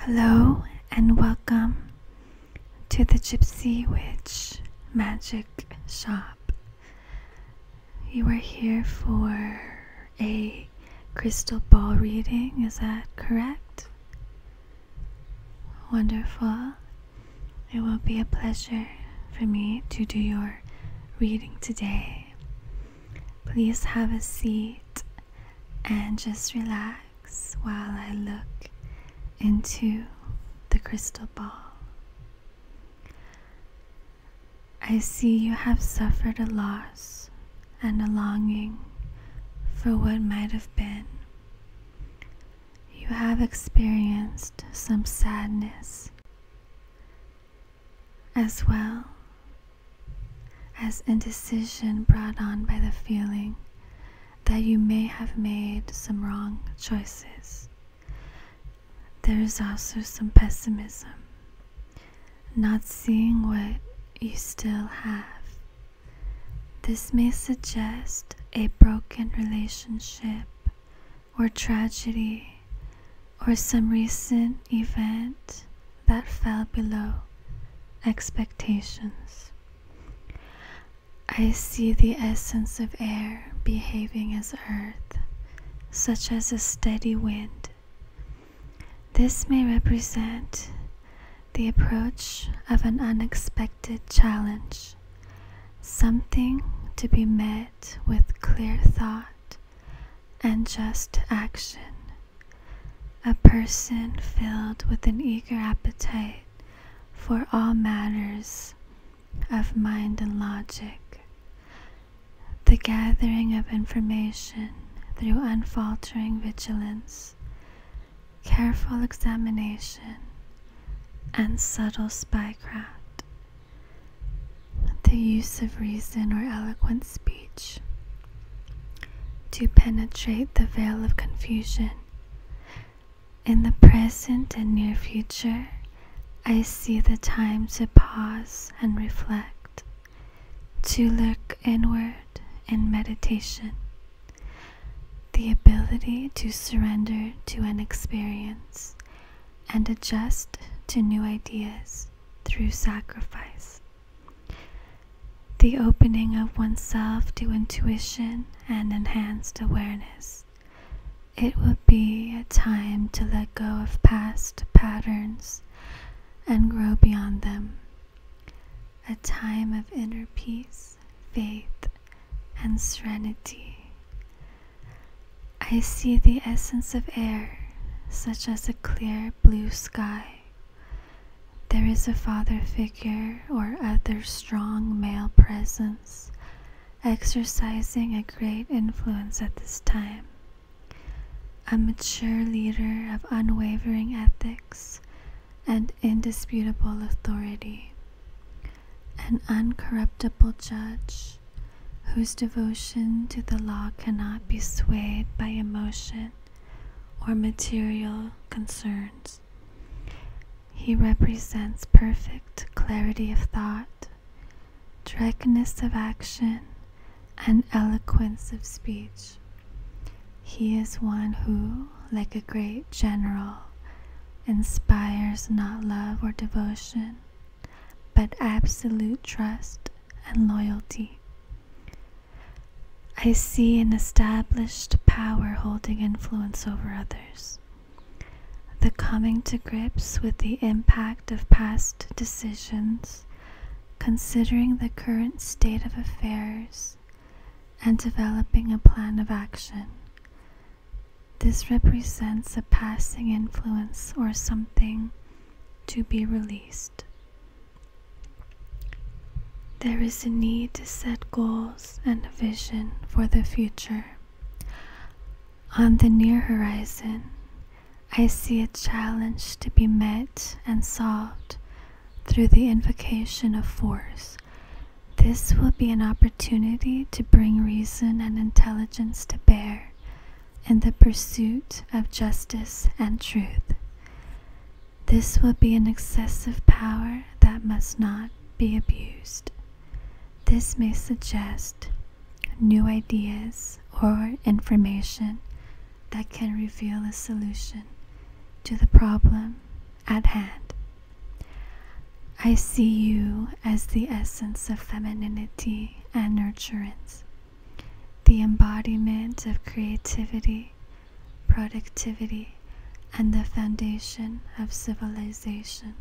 Hello and welcome to the Gypsy Witch Magic Shop. You are here for a crystal ball reading, is that correct? Wonderful. It will be a pleasure for me to do your reading today. Please have a seat and just relax while I look into the crystal ball. I see you have suffered a loss and a longing for what might have been. You have experienced some sadness as well as indecision brought on by the feeling that you may have made some wrong choices. There is also some pessimism, not seeing what you still have. This may suggest a broken relationship or tragedy or some recent event that fell below expectations. I see the essence of air behaving as earth, such as a steady wind. This may represent the approach of an unexpected challenge, something to be met with clear thought and just action. A person filled with an eager appetite for all matters of mind and logic. The gathering of information through unfaltering vigilance, careful examination, and subtle spycraft the use of reason or eloquent speech to penetrate the veil of confusion. In the present and near future, I see the time to pause and reflect, to look inward in meditation, the ability to surrender to an experience and adjust to new ideas through sacrifice. The opening of oneself to intuition and enhanced awareness. It will be a time to let go of past patterns and grow beyond them. A time of inner peace, faith, and serenity. I see the essence of air such as a clear blue sky. There is a father figure or other strong male presence exercising a great influence at this time. A mature leader of unwavering ethics and indisputable authority. An uncorruptible judge whose devotion to the law cannot be swayed by emotion or material concerns. He represents perfect clarity of thought, directness of action, and eloquence of speech. He is one who, like a great general, inspires not love or devotion, but absolute trust and loyalty. I see an established power holding influence over others. The coming to grips with the impact of past decisions, considering the current state of affairs, and developing a plan of action. This represents a passing influence or something to be released. There is a need to set goals and a vision for the future. On the near horizon, I see a challenge to be met and solved through the invocation of force. This will be an opportunity to bring reason and intelligence to bear in the pursuit of justice and truth. This will be an excessive power that must not be abused. This may suggest new ideas or information that can reveal a solution to the problem at hand. I see you as the essence of femininity and nurturance the embodiment of creativity, productivity, and the foundation of civilization.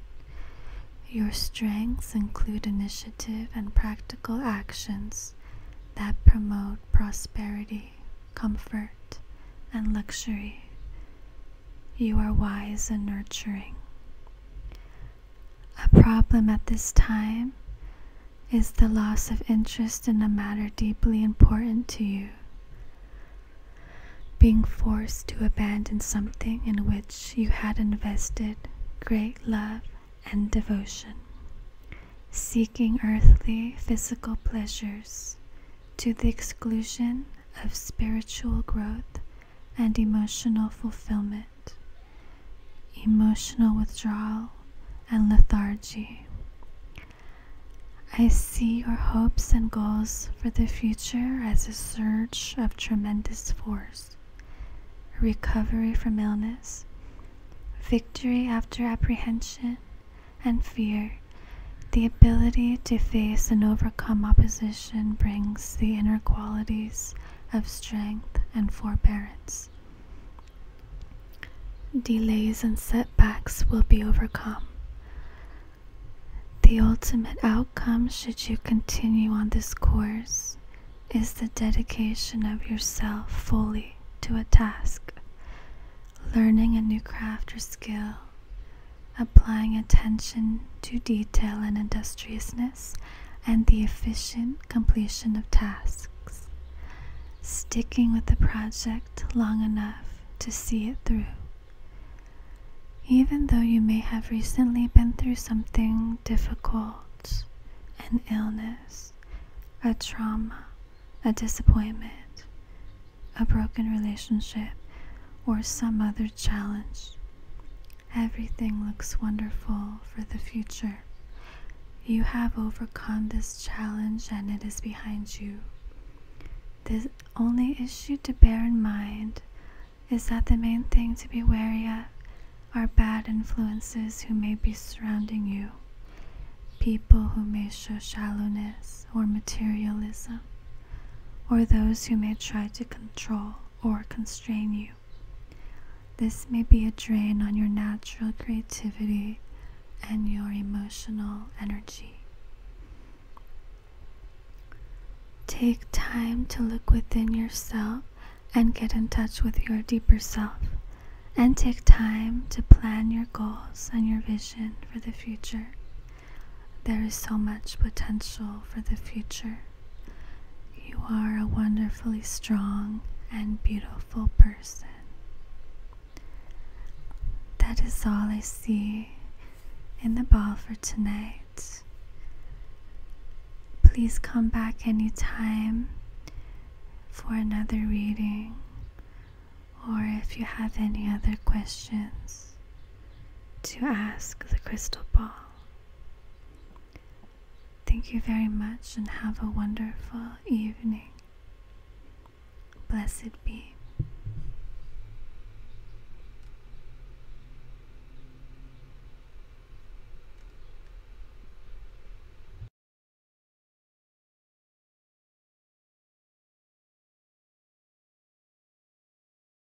Your strengths include initiative and practical actions that promote prosperity, comfort, and luxury. You are wise and nurturing. A problem at this time is the loss of interest in a matter deeply important to you. Being forced to abandon something in which you had invested great love and devotion. Seeking earthly physical pleasures to the exclusion of spiritual growth and emotional fulfillment, emotional withdrawal, and lethargy. I see your hopes and goals for the future as a surge of tremendous force, recovery from illness, victory after apprehension and fear. The ability to face and overcome opposition brings the inner qualities of strength and forbearance. Delays and setbacks will be overcome. The ultimate outcome, should you continue on this course, is the dedication of yourself fully to a task, learning a new craft or skill, applying attention to detail and industriousness and the efficient completion of tasks, sticking with the project long enough to see it through. Even though you may have recently been through something difficult, an illness, a trauma, a disappointment, a broken relationship, or some other challenge, Everything looks wonderful for the future. You have overcome this challenge and it is behind you. The only issue to bear in mind is that the main thing to be wary of are bad influences who may be surrounding you, people who may show shallowness or materialism, or those who may try to control or constrain you. This may be a drain on your natural creativity and your emotional energy. Take time to look within yourself and get in touch with your deeper self. And take time to plan your goals and your vision for the future. There is so much potential for the future. You are a wonderfully strong and beautiful person. That is all I see in the ball for tonight. Please come back anytime for another reading or if you have any other questions to ask the crystal ball. Thank you very much and have a wonderful evening. Blessed be.